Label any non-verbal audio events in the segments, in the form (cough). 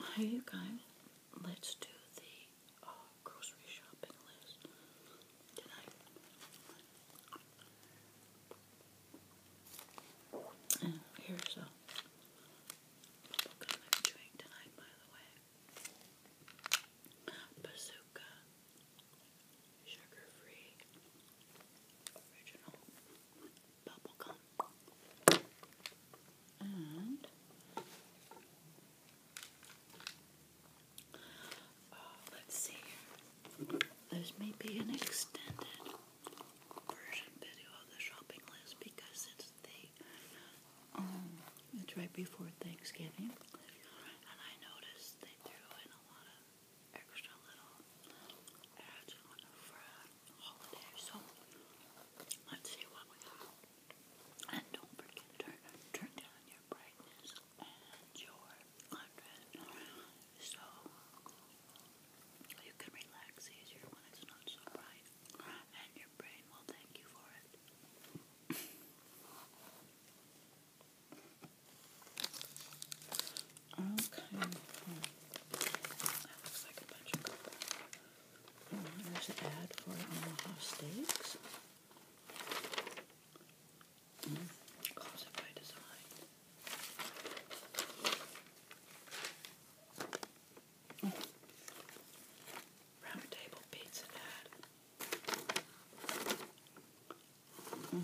Hi you guys, let's do the uh, grocery shopping list tonight. And here's a bubblegum I'm tonight by the way. Bazooka, sugar-free, original. Bubble gum. Uh, let's see. There's maybe an extended version video of the shopping list because it's the um, it's right before Thanksgiving. And I noticed they threw in a lot of extra little ads on the front holiday. So let's see what we got. And don't forget to turn down your brightness and your contrast so you can relax easier when it's not so bright. And your brain will thank you for it. okay. That looks like a bunch there's an ad for Omaha Steaks. Mm. it by design. Mm. pizza ad. Mm.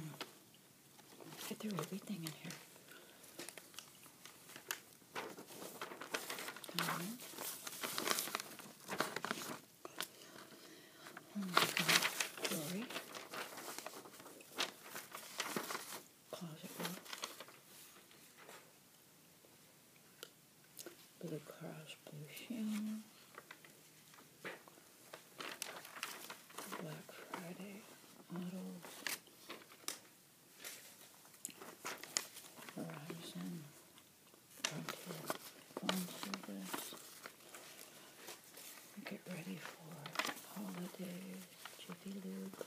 I threw everything in here. Blue cross, blue shell. Black Friday models. Verizon, Frontier phone Get ready for holidays, Jiffy Lube,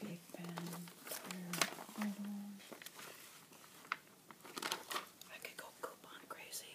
Big Ben, I could go coupon crazy.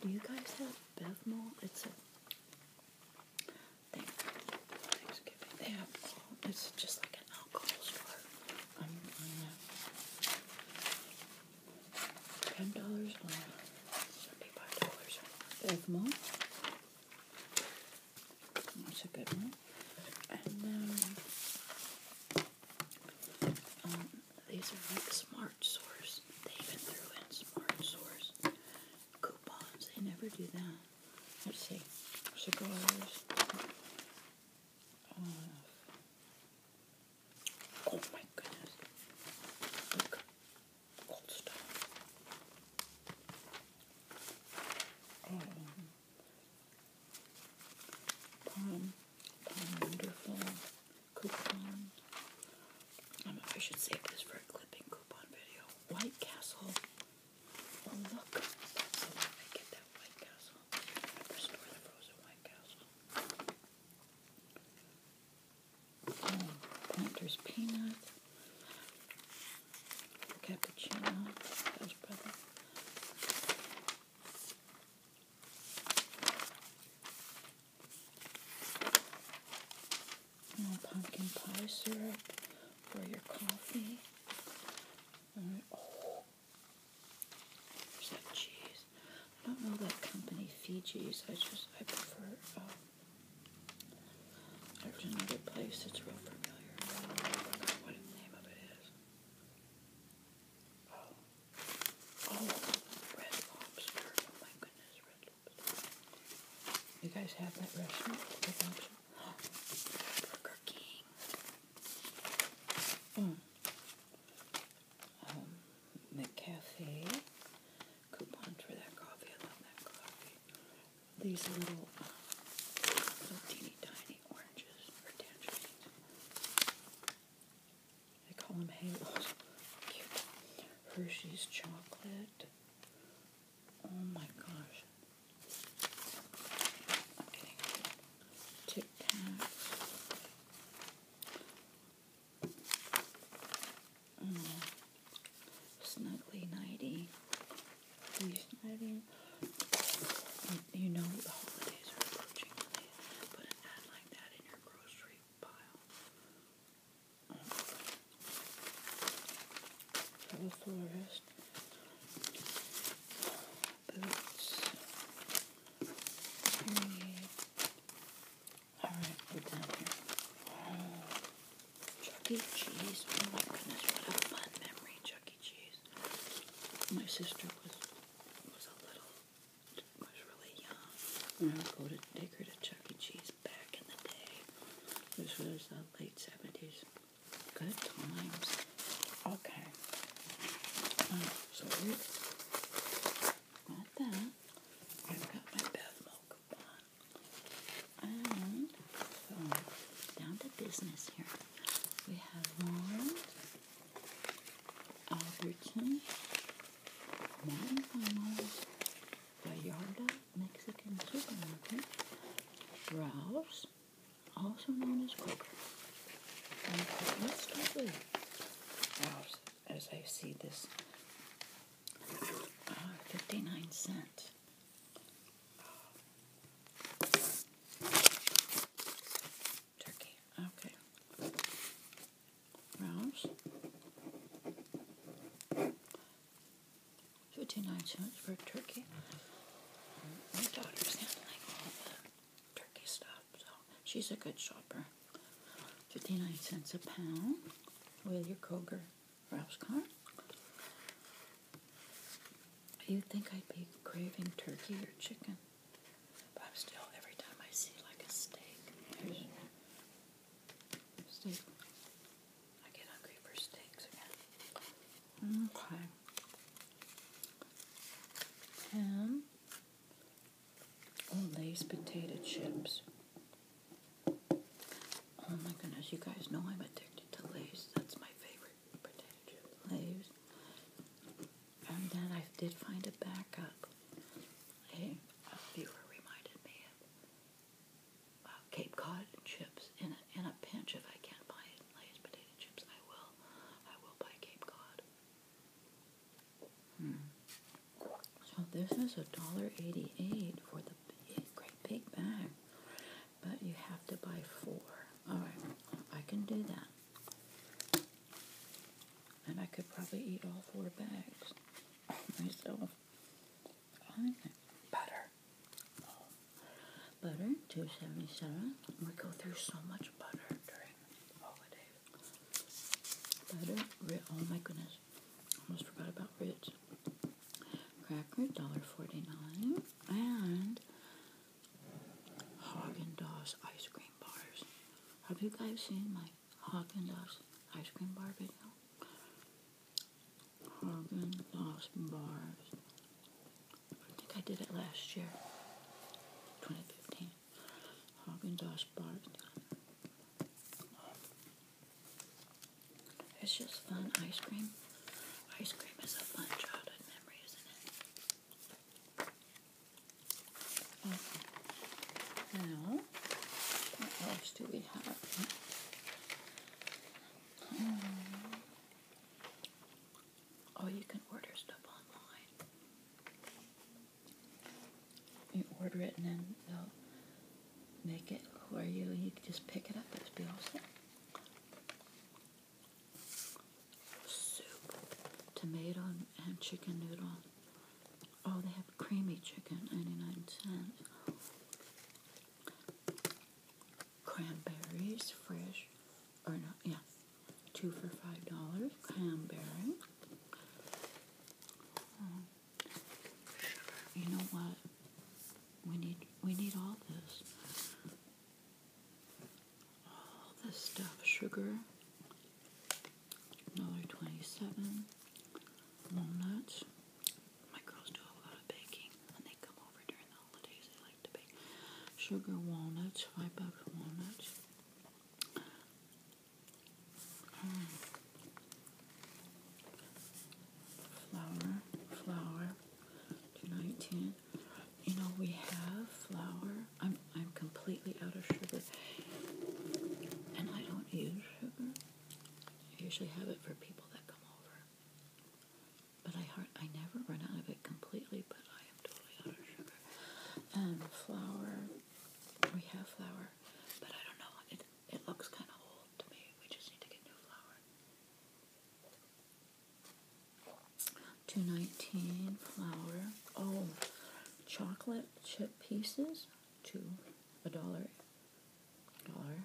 Do you guys have Bevmo? It's a Thanksgiving. They have it's just like an alcohol store. I'm on that. Ten dollars on seventy-five dollars. Bevmo. That's a good one. These are like Smart Source. They even threw in Smart Source coupons. They never do that. Let's see. Cigars. Uh, oh my goodness. Look. Gold Stone. Um, palm. Palm Wonderful coupon. Um, I should save this for a clipping coupon video. White Castle. Oh look, that's the one I get that White Castle. Restore the frozen White Castle. Oh, Peanut. Cappuccino. That's brother pumpkin pie syrup for your coffee. oh, there's that cheese. I don't know that company Fiji's. I just I prefer. Um, there's place that's real familiar. what name of it is. Oh. Oh, Red Lobster. Oh my goodness, Red Lobster. You guys have that restaurant? (gasps) Burger King. Mm. Um, McCafe. Coupon for that coffee. I love that coffee. These little, uh, little teeny tiny oranges or tangerines. They call them halos. Hershey's chocolate. Oh my gosh. I'm mm. Snuggly Nighty. You know the holidays are approaching, but an ad like that in your grocery big Forest. Boots. Alright, we're down here. Chuck E. Cheese. Oh my goodness, what a fun memory, Chuck E. Cheese. My sister was was a little was really young. I would go to take her to Chuck E. Cheese back in the day, This was the late 70s. Good times. Okay. Um, so got that. I've got my bath milk on. And so down to business here. We have one Albertson then from Mexican Supermarket, Rouse, also known as Kroger, let's start with as I see this uh, 59 cent. Turkey. Okay rounds. 59 cents for turkey. My daughter's handling all the turkey stuff, so she's a good shopper. 59 cents a pound with your Kroger Ralph's card. You'd think I'd be craving turkey or chicken, but I'm still, every time I see like a steak, Steak. I get hungry for steaks again. Okay. Ham. Oh, Lay's potato chips. Oh my goodness, you guys know I'm addicted to Lay's. That's my favorite potato chip. Lay's. And then I did find a backup. Hey, a viewer reminded me of uh, Cape Cod chips. In a, in a pinch, if I can't buy Lay's potato chips, I will. I will buy Cape Cod. Hmm. So this is a dollar eighty-eight for the big, great big bag, but you have to buy four. All right, I can do that, and I could probably eat all four bags myself butter. Butter, two seventy seven. We go through so much butter during the holidays. Butter, Oh my goodness, almost forgot about Ritz. Cracker, dollar forty nine, and Haagen Dazs ice cream bars. Have you guys seen my Haagen Dazs ice cream bar video. Haagen Dazs bars. I think I did it last year, 2015. Haagen Dazs bars. It's just fun ice cream. Ice cream is a fun childhood memory, isn't it? Now, what else do we have? Um, oh, you can order stuff online. You order it and then they'll make it for you. You just pick it up. It's be all Soup, tomato, and chicken noodle. Oh, they have creamy chicken, 99 cents. Cranberries, fresh, or not, yeah, two for five dollars. Cranberry. Um, you know what? We need we need all this. All this stuff, sugar, another 27 walnuts. My girls do a lot of baking when they come over during the holidays. They like to bake sugar walnuts, five bucks walnuts. flour, flour, two nineteen. You know we have flour. I'm I'm completely out of sugar, and I don't use sugar. I usually have it for people that come over. But I hard, I never run out of it completely, but I am totally out of sugar. And um, flour, we have flour, but I don't know, it, it looks kind of old to me. We just need to get new flour. 219 flour. Oh, chocolate chip pieces. Two, a dollar, dollar,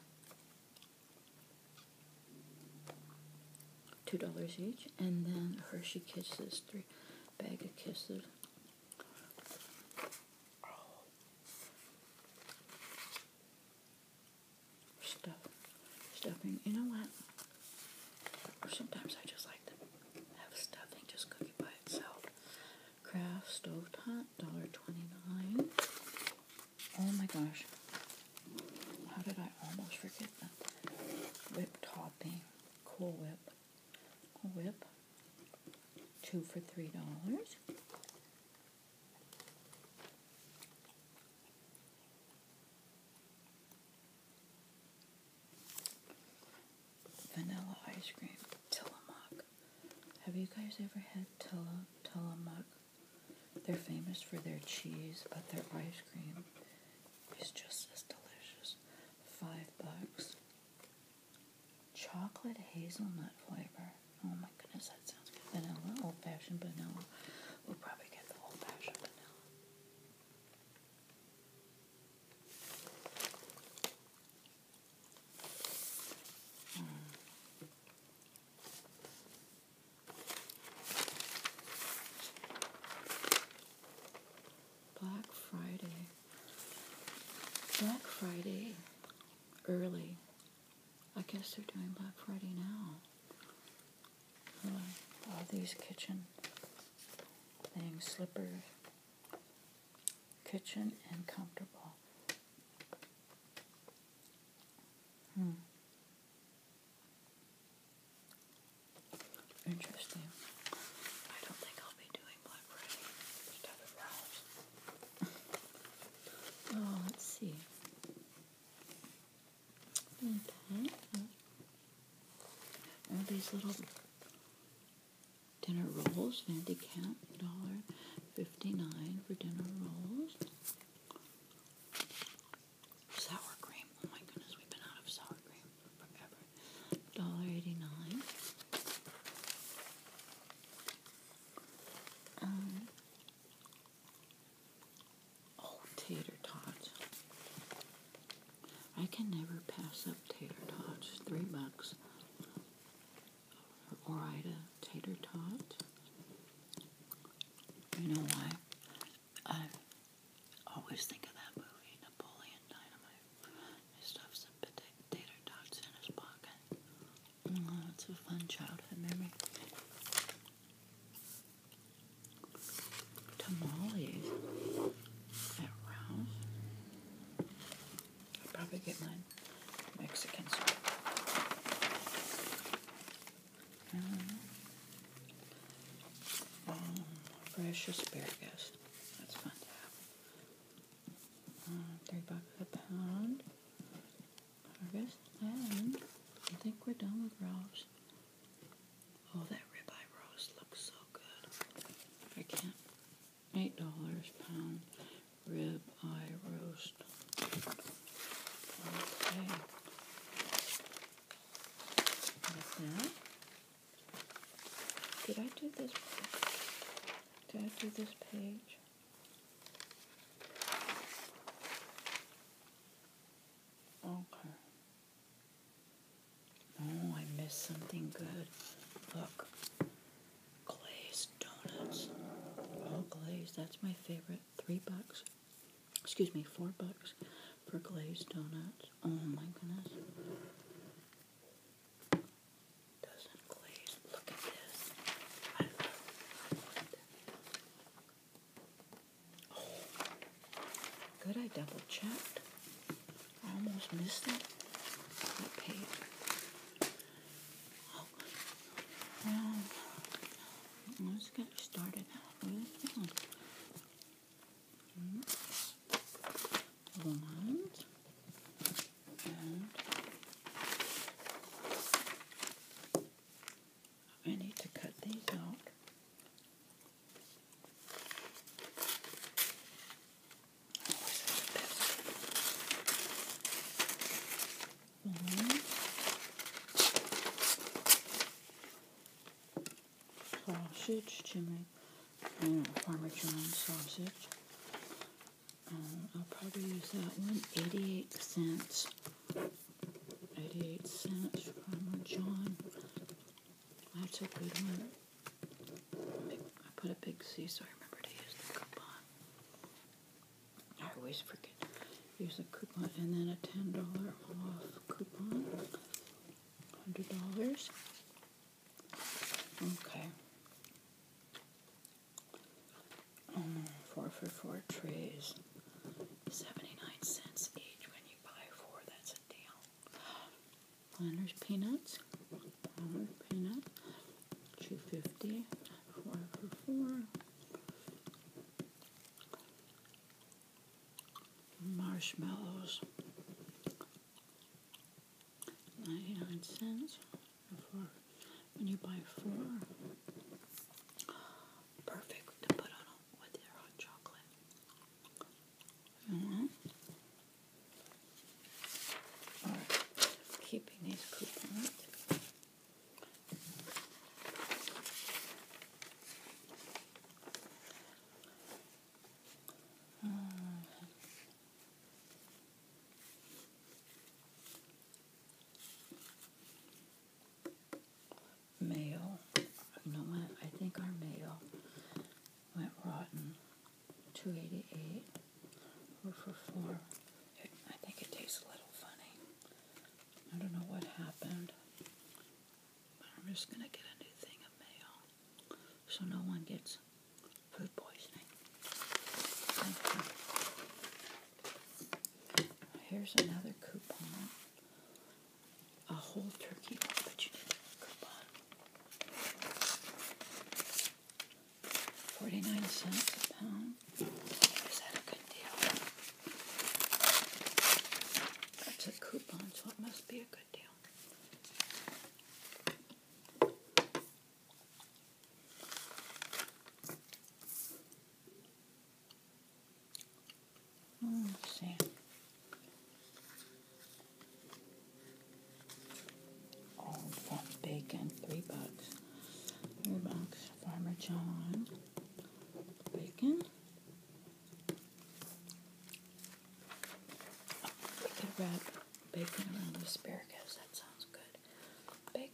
two dollars each, and then Hershey Kisses, three bag of kisses. Stuff, stuffing. You know what? Sometimes I just like to have stuffing just cook by itself. Craft stove $1.29. Oh my gosh. How did I almost forget that? Whip topping. Cool Whip. Cool Whip. Two for $3 vanilla ice cream. Tillamook. Have you guys ever had Tilla, They're famous for their cheese, but their ice cream is just as delicious. Five bucks. Chocolate hazelnut flavor. Oh my goodness, that sounds good. Vanilla, old fashioned vanilla. We'll probably get the old fashioned vanilla. Black Friday. Black Friday early. I guess they're doing Black Friday now. All these kitchen things, slippers kitchen and comfortable. Hmm. Interesting. I don't think I'll be doing Black (laughs) oh, let's see. Okay. All these little Dinner rolls, Vandy Camp, $1.59 for dinner rolls. Sour cream, oh my goodness, we've been out of sour cream forever. $1.89. Um, oh, tater tots. I can never pass up tater tots. Three bucks or Orida tater tot. You know why? I always think of that movie, Napoleon Dynamite. He stuffs some tater tots in his pocket. Mm, it's a fun childhood memory. Tamales at Ralph's. I'll probably get mine Mexican store. Um, um, fresh asparagus. That's fun to have. Um, uh, three bucks a pound. Harvest. And I think we're done with roast. Oh, that ribeye roast looks so good. I can't eight dollars pound rib eye roast. Okay. Did I do this? Did I do this page? Okay. Oh, I missed something good. Look, glazed donuts. oh glazed. That's my favorite. Three bucks. Excuse me, four bucks for glazed donuts. Oh my goodness. Doesn't glaze. Look at this. I Good, oh. I double checked. I almost missed it. That page let's get started One and I need to cut these out sausage to make you sausage. Um, I'll probably use that one. 88 cents. 88 cents Farmer John. That's a good one. I put a big C so I remember to use the coupon. I always forget. Use a coupon and then a ten dollar off coupon. Hundred dollars. Okay. Um, four for four trays. Seventy nine cents each when you buy four. That's a deal. Planters peanuts. Planters peanut. 250 marshmallows 99 cents for when you buy four perfect to put on with your hot chocolate mm -hmm keeping these coupons. Uh, mail. You know what? I think our mail went rotten. Two eighty eight or for four. I think it tastes a little funny. I don't know what happened. I'm just gonna get a new thing of mayo, so no one gets food poisoning. Here's another coupon. A whole turkey, 49 cents a pound. Is that a good deal? That's a coupon, so it must be a good deal. Hmm, let's see. Oh, that's bacon, three bucks. Three bucks. Farmer John. Bacon. We could wrap bacon around the asparagus. That sounds good. Bacon.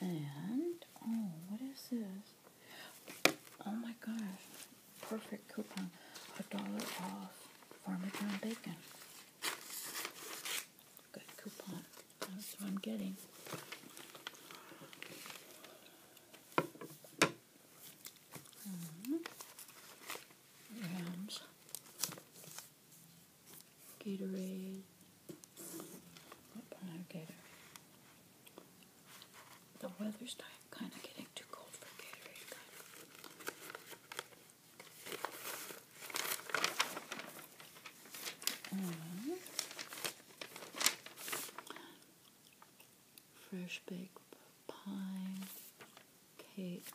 And, oh, what is this? Oh my gosh, perfect coupon. A dollar off Parmesan bacon. Good coupon. That's what I'm getting. Mm-hmm. Rams. Gatorade. The weather's kind of getting too cold for Gatorade. Mm-hmm. Fresh baked pine cake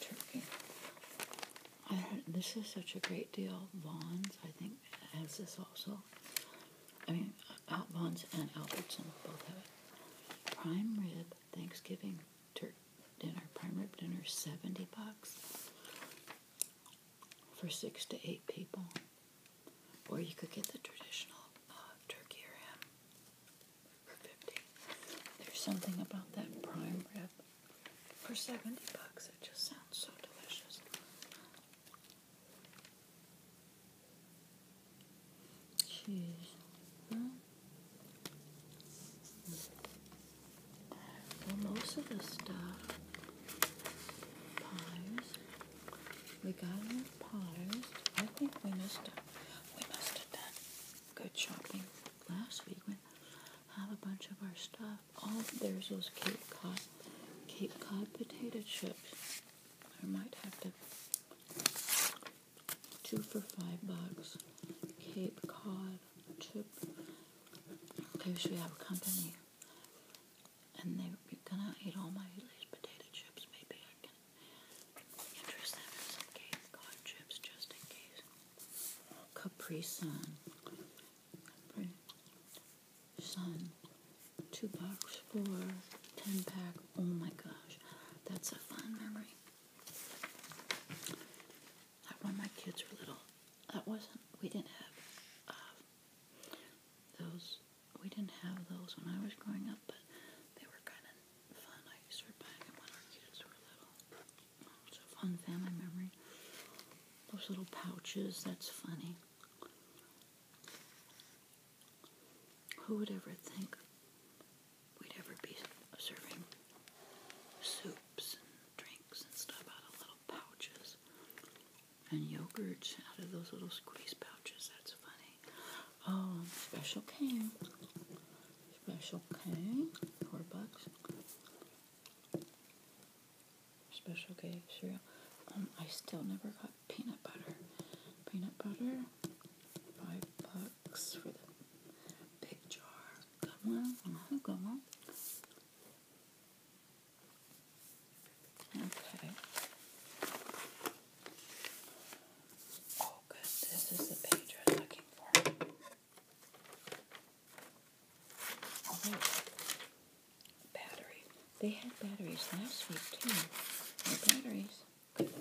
turkey. this is such a great deal. Vaughn's, I think. Brewing has this also. I mean, Outbon's and Albertson both have it. Prime rib Thanksgiving turkey dinner. Prime rib dinner, seventy bucks for six to eight people. Or you could get the traditional uh, turkey or ham for fifty. There's something about that prime rib for seventy bucks. It just sounds so delicious choose Well, most of the stuff, pies, we got our pies. I think we must have, we must have done good shopping last week. We have a bunch of our stuff Oh, there's those Cape Cod, Cape Cod potato chips. I might have to two for five bucks. Cape Cod chip. Okay, so we have company, and they are gonna eat all my these potato chips. Maybe I can interest them in some Cape Cod chips just in case. Capri Sun. Son, two bucks for ten pack. Oh my gosh, that's a fun memory. Like when my kids were little, that wasn't. We didn't have um, those. We didn't have those when I was growing up, but they were kind of fun. I used to buy them when our kids were little. It's a fun family memory. Those little pouches. That's funny. Who would ever think we'd ever be serving soups and drinks and stuff out of little pouches and yogurts out of those little squeeze pouches? That's funny. Oh, special cane. Special cane. Four bucks. Special case cereal. Um, I still never got peanut butter. Peanut butter, five bucks for the big jar. Got one. I got Okay. Oh, good. This is the page I'm looking for. Oh, battery. They had batteries last week too. batteries. Good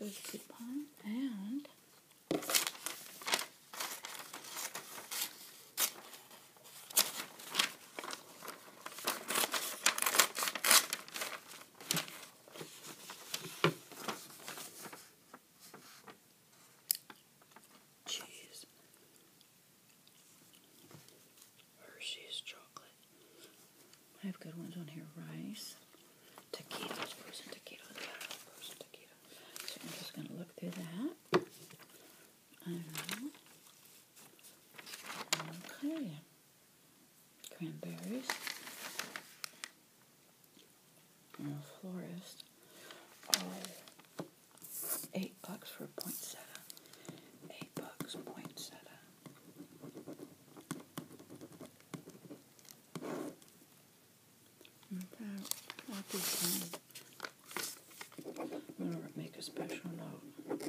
a coupon. And cheese, Hershey's chocolate. I have good ones on here. Rice, taquitos, frozen taquitos, So I'm just going to look through that. Um, okay. Cranberries. And florist. Oh. Eight bucks for poinsettia. Eight bucks poinsettia. Okay, what this one. I'm gonna make a special note.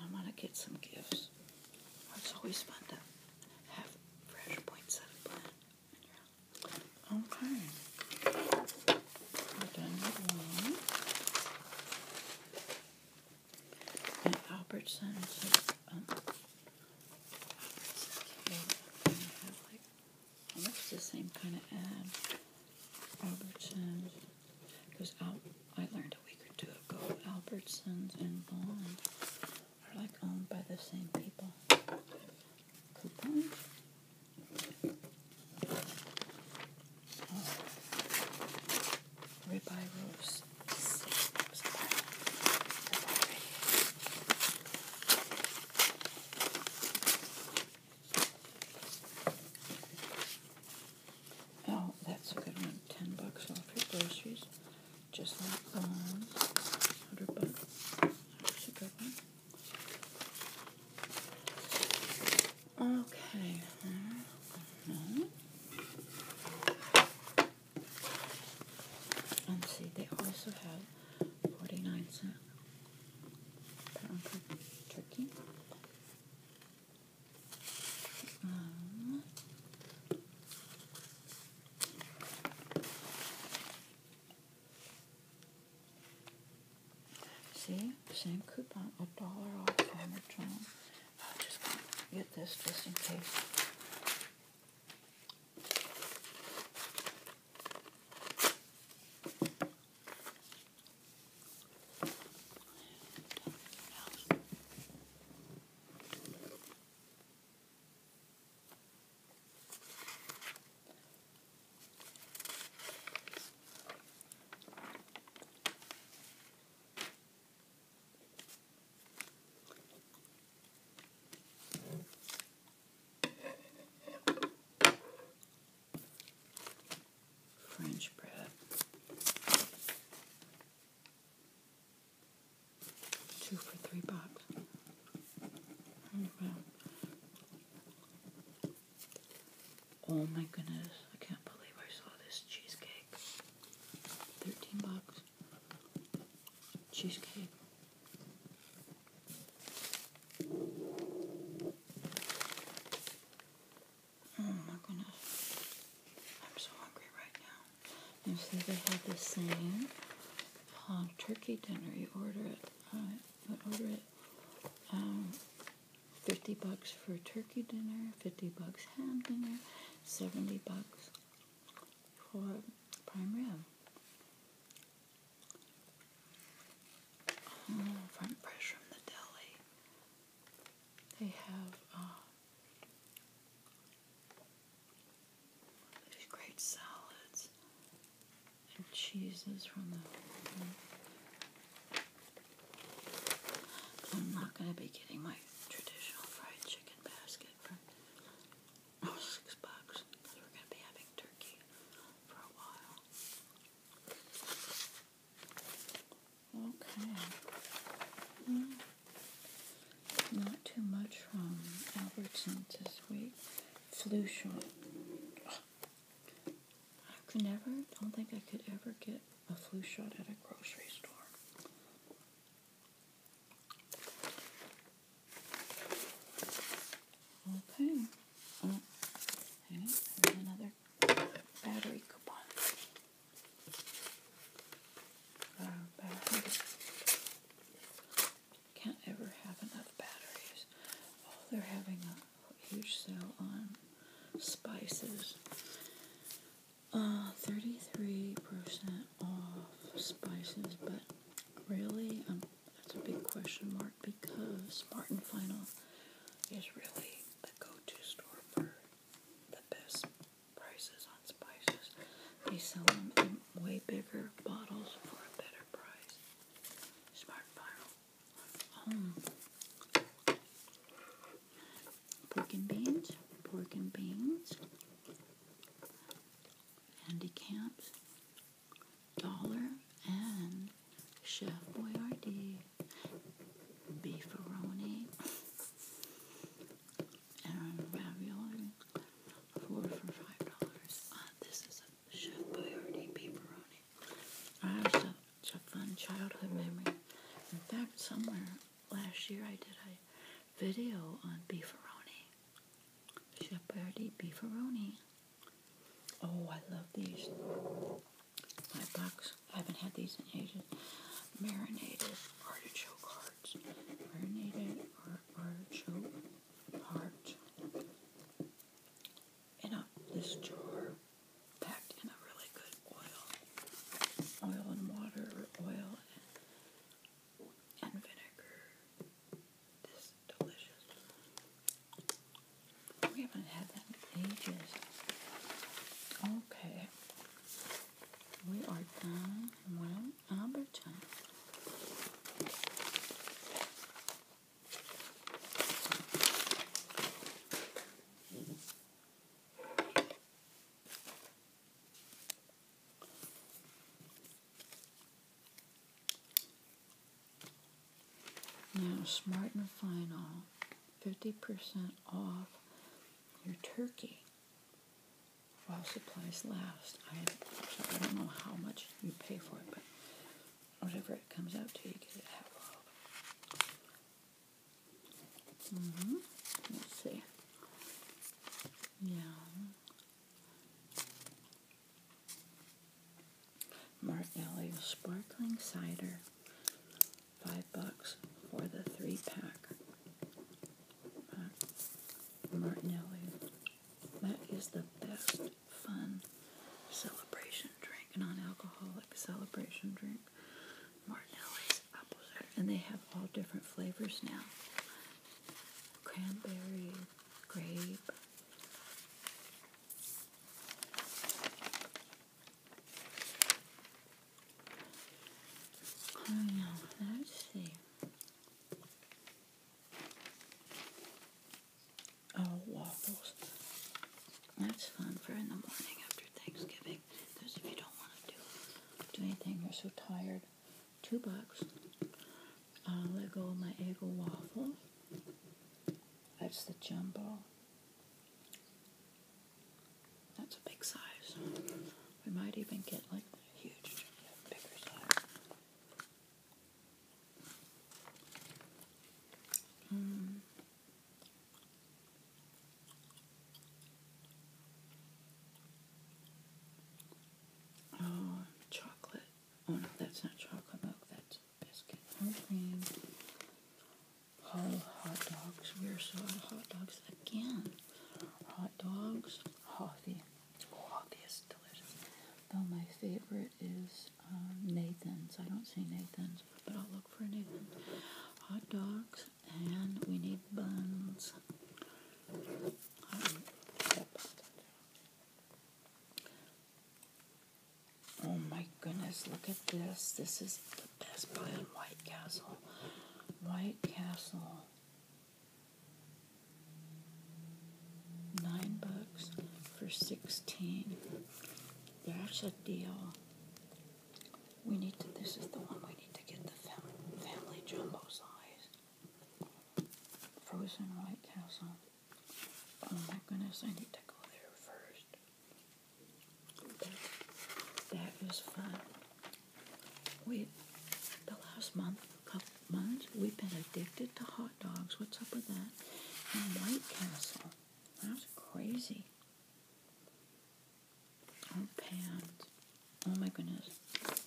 I'm gonna get some gifts. It's always fun to have fresh poinsettia plant. Okay. we okay, have the same kind of ad. Albertsons, because Al I learned a week or two ago, Albertsons and Vaughn are like owned by the same people. Coupons. Ribeye oh. roast. Oh, that's a good one. Ten bucks off your groceries just like on 100 bucks. That's a good one. Okay. Mm -hmm. see, they also have 49 cent pound See, same coupon, a dollar off Omicron. I'll just get this just in case. French bread. Two for three bucks. Oh my goodness, I can't believe I saw this cheesecake. 13 bucks. Cheesecake. Oh my goodness. I'm so hungry right now. And so they have the same turkey dinner. You order it. Uh, order it. Um, fifty bucks for turkey dinner. Fifty bucks ham dinner. Seventy bucks for prime rib. Oh, fresh from the deli. They have uh, these great salads and cheeses from the. I'm not going to be getting my traditional fried chicken basket for six bucks because we're going to be having turkey for a while. Okay. Well, not too much from Albertsons this week flu shot. I could never, don't think I could ever get a flu shot at a grocery store. Okay. Oh, another battery coupon. Uh, can't ever have enough batteries. Oh, they're having a huge sale on spices. Uh, 33% off spices, but really, um, that's a big question mark because Martin Final is really the go-to store for the best prices on spices. They sell them in way bigger bottles for a better price guys. Home. Um, pork and beans. Pork and beans. Andy Camps. Dollar and Chef Boyardee. Beefaroni. And ravioli. Four for five dollars. Uh, this is Chef Boyardee such a fun childhood memory. In fact, somewhere last year I did a video on beefaroni. Chef Boyardee beefaroni. Oh, I love these. My box. I haven't had these in ages. Marinated artichoke hearts. Marinated artichoke in a, this jar packed in a really good oil. Oil and water, oil and, and vinegar. This is delicious. We haven't had that in ages. Okay. We are done. Well, Albertine. Now, Smart and Final, 50% off your turkey while supplies last. I don't know how much you pay for it, but whatever it comes out to, you get it half off. Mm Let's see. Yeah. Martinelli sparkling cider. Five bucks for the three pack. Uh, Martinelli's—that That is the best fun celebration drink, non-alcoholic celebration drink. Martinelli's apple cider, and they have all different flavors now. Cranberry, grape. I know. Let's see. Oh, waffles. That's fun for in the morning after Thanksgiving. Those of you don't want to do, do anything, you're so tired. Two bucks. I'll let go of my Eggo waffle. That's the jumbo. That's a big size. We might even get like a huge, bigger size. Um, oh, chocolate. Oh no, that's not chocolate milk, that's biscuit. cream. Whole hot dogs. We are so out hot dogs again. Hot dogs, coffee. Oh, of these delicious. Oh, my favorite is um, Nathan's. I don't see Nathan's, but I'll look for Nathan's Hot dogs, and we need buns. oh my goodness, look at this. This is the best buy on White Castle. White Castle nine bucks for 16 thats a deal we need to this is the one we need to get the family jumbo size frozen white castle oh my goodness i need to go there first that, was fun Wait, the last month couple months, we've been addicted to hot dogs. What's up with that? White Castle. That's crazy. Oh, Oh my goodness.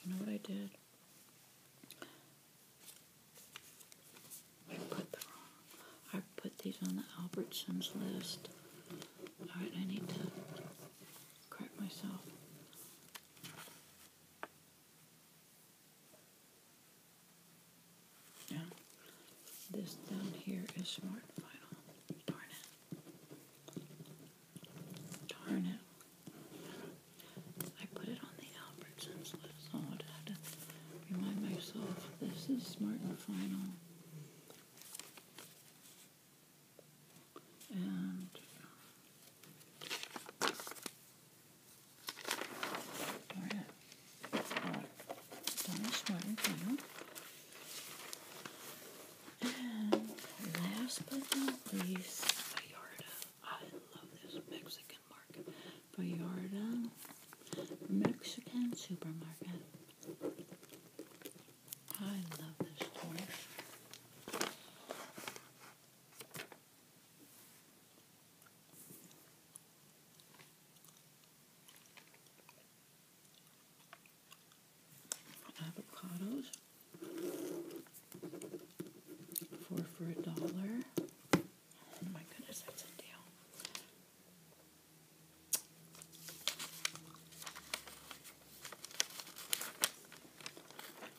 You know what I did? I put the I put these on the Albertsons list. Alright, I need to correct myself. Yeah. This down here is smart final. Darn it. Darn it. I put it on the Albertsons list. I'd remind myself this is smart and final. And last but not least, Vallarta. I love this Mexican market. Vallarta Mexican supermarket. I love this store. Avocados four for a dollar. Oh my goodness, that's a deal.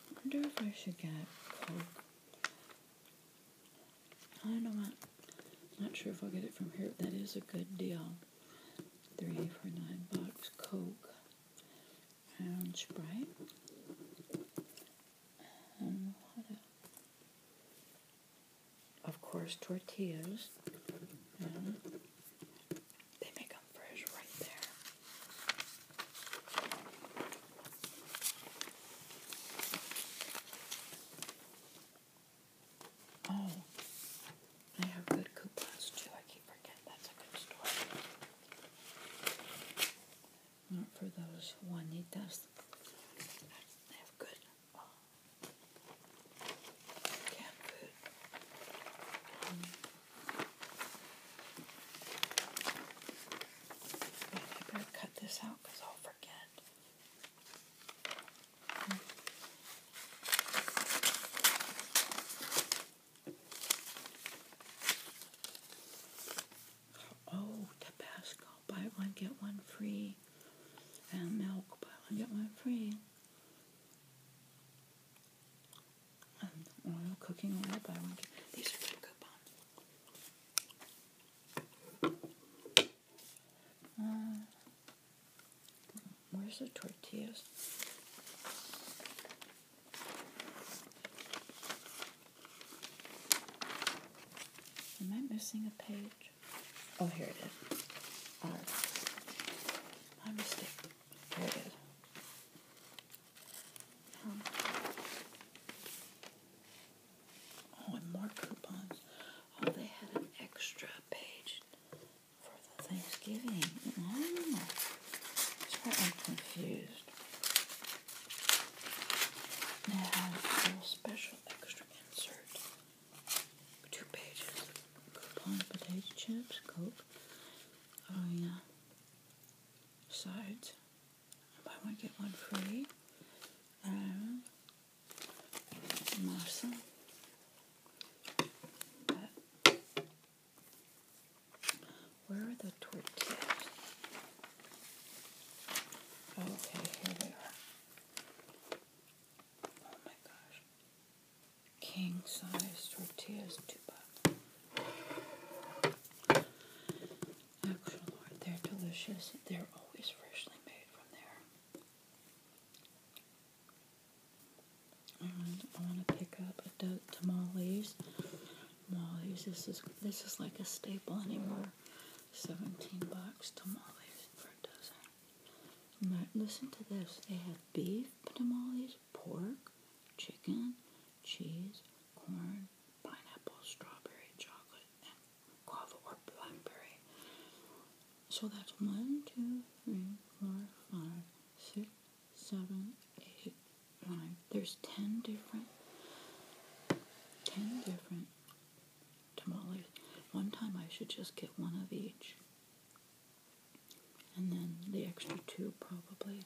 I wonder if I should get I don't know. I'm not sure if I'll get it from here. That is a good deal. Three for nine bucks. Coke. Brown Sprite. Um, of course, tortillas. they make them fresh right there. Oh, I have good coupons too. I keep forgetting that's a good store. Not for those Juanitas. They have good oh, uh, food. Um, cut this out because I'll forget. Oh, Tabasco, buy one, get one free. And milk, buy one, get one free. And oil, cooking oil, buy one, get These are good coupons. Uh, where's the tortillas? Am I missing a page? Oh, here it is. All right. My mistake. Here it is. Um, Oh, and more coupons. Oh, they had an extra page for the Thanksgiving. Oh, I'm confused. Now, a little special extra insert. Two pages. Coupon potato chips, Coke. Oh, yeah. Sides buy one get one free. Um, where are the tortillas? Oh, okay, here they are. Oh my gosh. King size tortillas, two bucks. Actual they're delicious. They're always freshly made from there. And I want to pick up a do- tamales. Tamales. This is this is like a staple anymore. Seventeen bucks tamales for a dozen. listen to this. They have beef tamales, pork, chicken, cheese, corn, pineapple, strawberry, chocolate, guava, or blackberry. So that's one, two, three, four, five, six, seven, eight, nine. There's ten different, ten different tamales. One time I should just get one of each. And then the extra two probably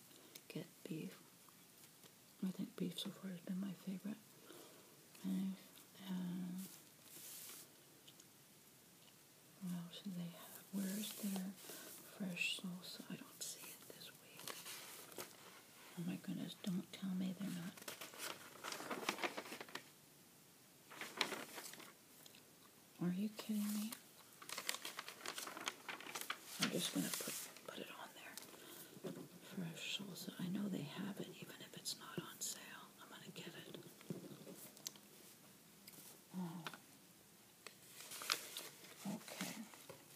get beef I think beef so far has been my favorite. And uh, what else do they have? Where is their fresh salsa? I don't see it this week. Oh my goodness, don't tell me they're not. Are you kidding me? I'm just going to put, put it on there fresh salsa. I know they have it, even if it's not on sale. I'm going to get it. Oh. Okay.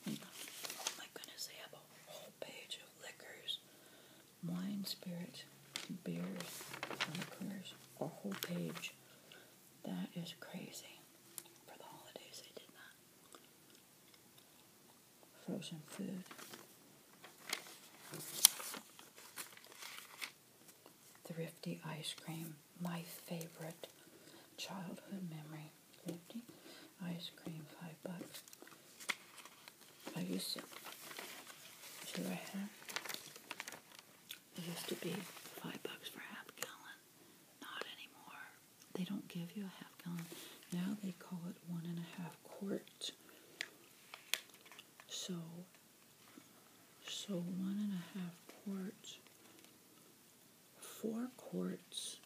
Oh my goodness, they have a whole page of liquors, wine, spirits, beers, liquors, a whole page. That is crazy. For the holidays, they did that frozen food. Thrifty ice cream, my favorite childhood memory. Thrifty ice cream, five bucks. I used to, see right It used to be five bucks for a half gallon. Not anymore. They don't give you a half gallon. Now they call it one and a half quart so, so one and a half quarts, four quarts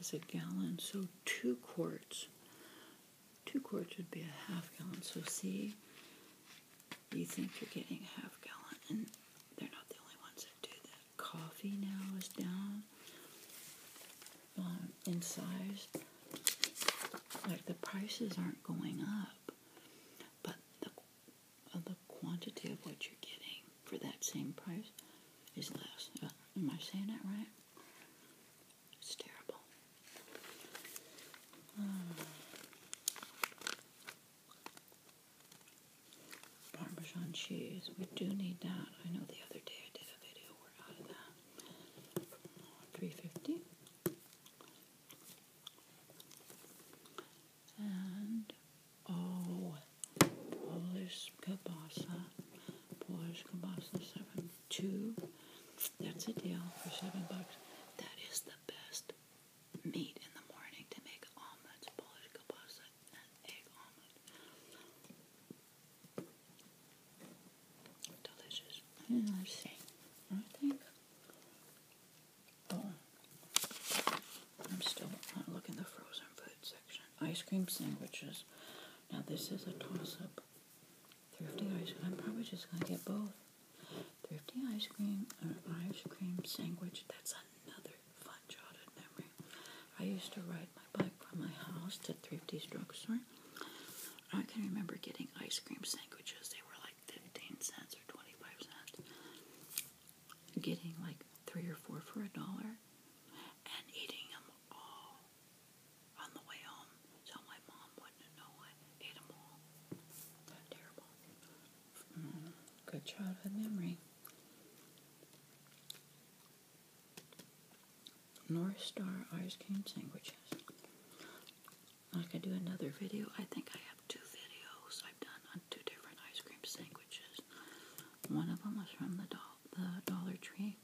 is a gallon, so two quarts, two quarts would be a half gallon. So see, you think you're getting a half gallon, and they're not the only ones that do that. Coffee now is down. Um, in size, like the prices aren't going up, but the uh, the quantity of what you're getting for that same price is less. Uh, am I saying that right? It's terrible. Um, Parmesan cheese. We do need that. I know the other day I did a video. We're out of that three fifty. And oh, Polish kielbasa, Polish kielbasa seven two. That's a deal for seven bucks. That is the best meat in the morning to make omelets, Polish kielbasa, and egg omelet. Delicious. let's see. I think. Oh, I'm still not looking the frozen food section. Ice cream sandwiches. Now this is a toss-up. Thrifty ice cream. I'm probably just gonna get both. Thrifty ice cream or ice cream sandwich. That's another fun childhood memory. I used to write my from my house to Thrifty's drugstore. I can remember getting ice cream sandwiches. They were like 15 cents or 25 cents. Getting like three or four for a dollar and eating them all on the way home so my mom wouldn't know I ate them all. Mm-hmm. good childhood memory. North Star ice cream sandwiches. I could do another video, I think I have two videos I've done on two different ice cream sandwiches. One of them was from the, do the Dollar Tree.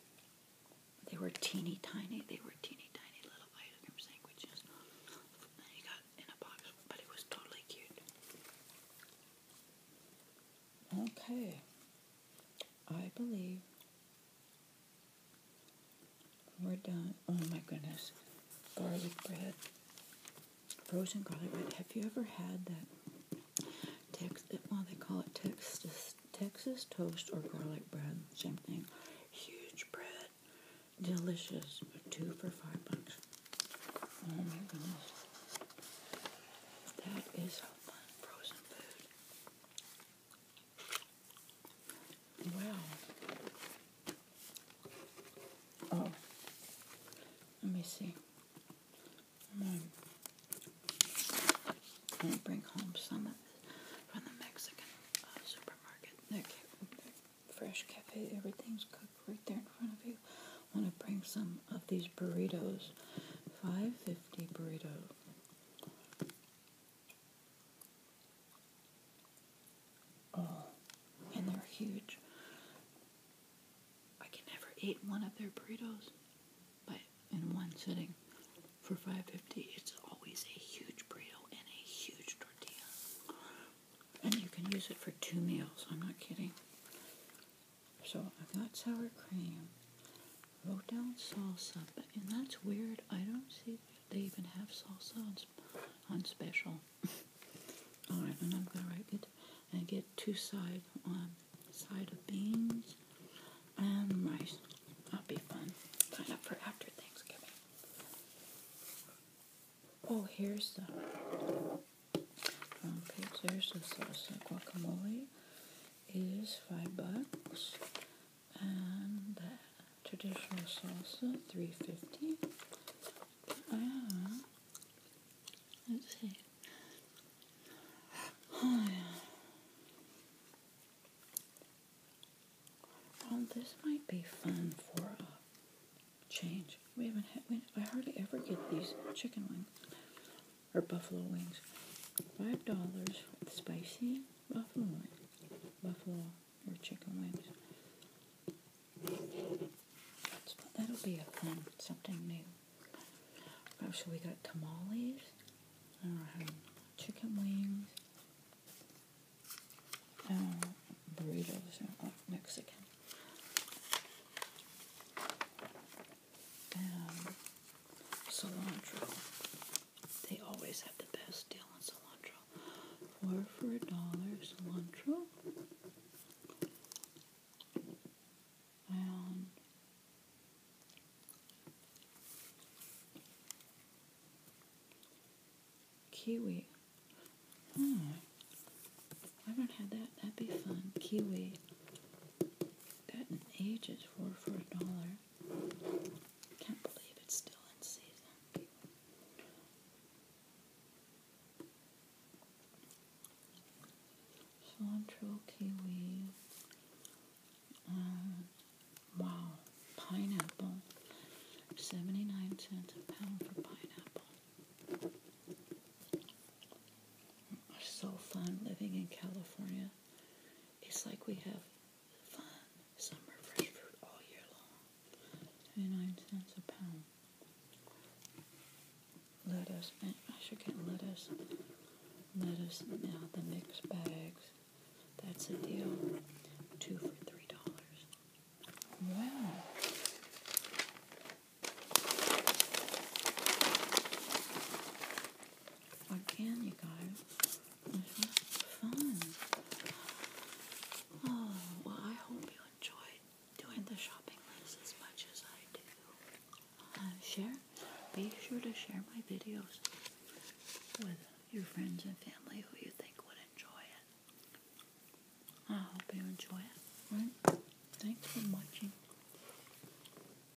(coughs) they were teeny tiny. They were teeny tiny little ice cream sandwiches. And got in a box, but it was totally cute. Okay. I believe we're done. Oh my goodness. Garlic bread. Frozen garlic bread. Have you ever had that Texas, eh, well, they call it Texas, Texas toast or garlic bread? Same thing. Huge bread. Delicious. Two for five bucks. Oh my goodness. That is frozen food. Wow. Oh, let me see. Mm. i bring home some from the Mexican uh, supermarket. fresh cafe, everything's cooked right there in front of you. want to bring some of these burritos. Five fifty burrito. Oh, and they're huge. I can never eat one of their burritos, but in one sitting for five fifty, it's always a huge burrito and a huge tortilla, and you can use it for two meals. I'm not kidding. So I've got sour cream. Wrote down salsa, and that's weird. I don't see they even have salsa on, special. (laughs) All right, and I'm gonna write it and get two side um, side of beans and rice. That'll be fun. Sign up for after Thanksgiving. Oh, here's the um, okay, the salsa guacamole is five bucks, and traditional salsa three fifty. And ah. let's see. Oh, (sighs) this might be fun for a change. We haven't had. I hardly ever get these chicken wings or buffalo wings. Five dollars spicy buffalo wings. Buffalo or chicken wings. that'll be a fun, something new. Oh, so we got tamales, chicken wings, uh, burritos, uh, Mexican. Um, cilantro. They always have the best deal on cilantro. Four for a dollar cilantro. And kiwi. Hmm. I haven't had that. That'd be fun. Kiwi. That age ages were for a dollar. Can't believe it's still in season. Cilantro, kiwi. Uh, wow, pineapple. 79 cents a pound for pineapple. So fun living in California it's like we have fun summer fresh fruit all year long. 29 cents a pound. Lettuce, I should get lettuce. Lettuce, now the mixed bags. That's a deal. Two for three dollars. Wow. Where can you go? fun. Oh, well, I hope you enjoyed doing the shopping list as much as I do. Uh, share. Be sure to share my videos with your friends and family who you think would enjoy it. I hope you enjoy it. Right? Thanks for watching.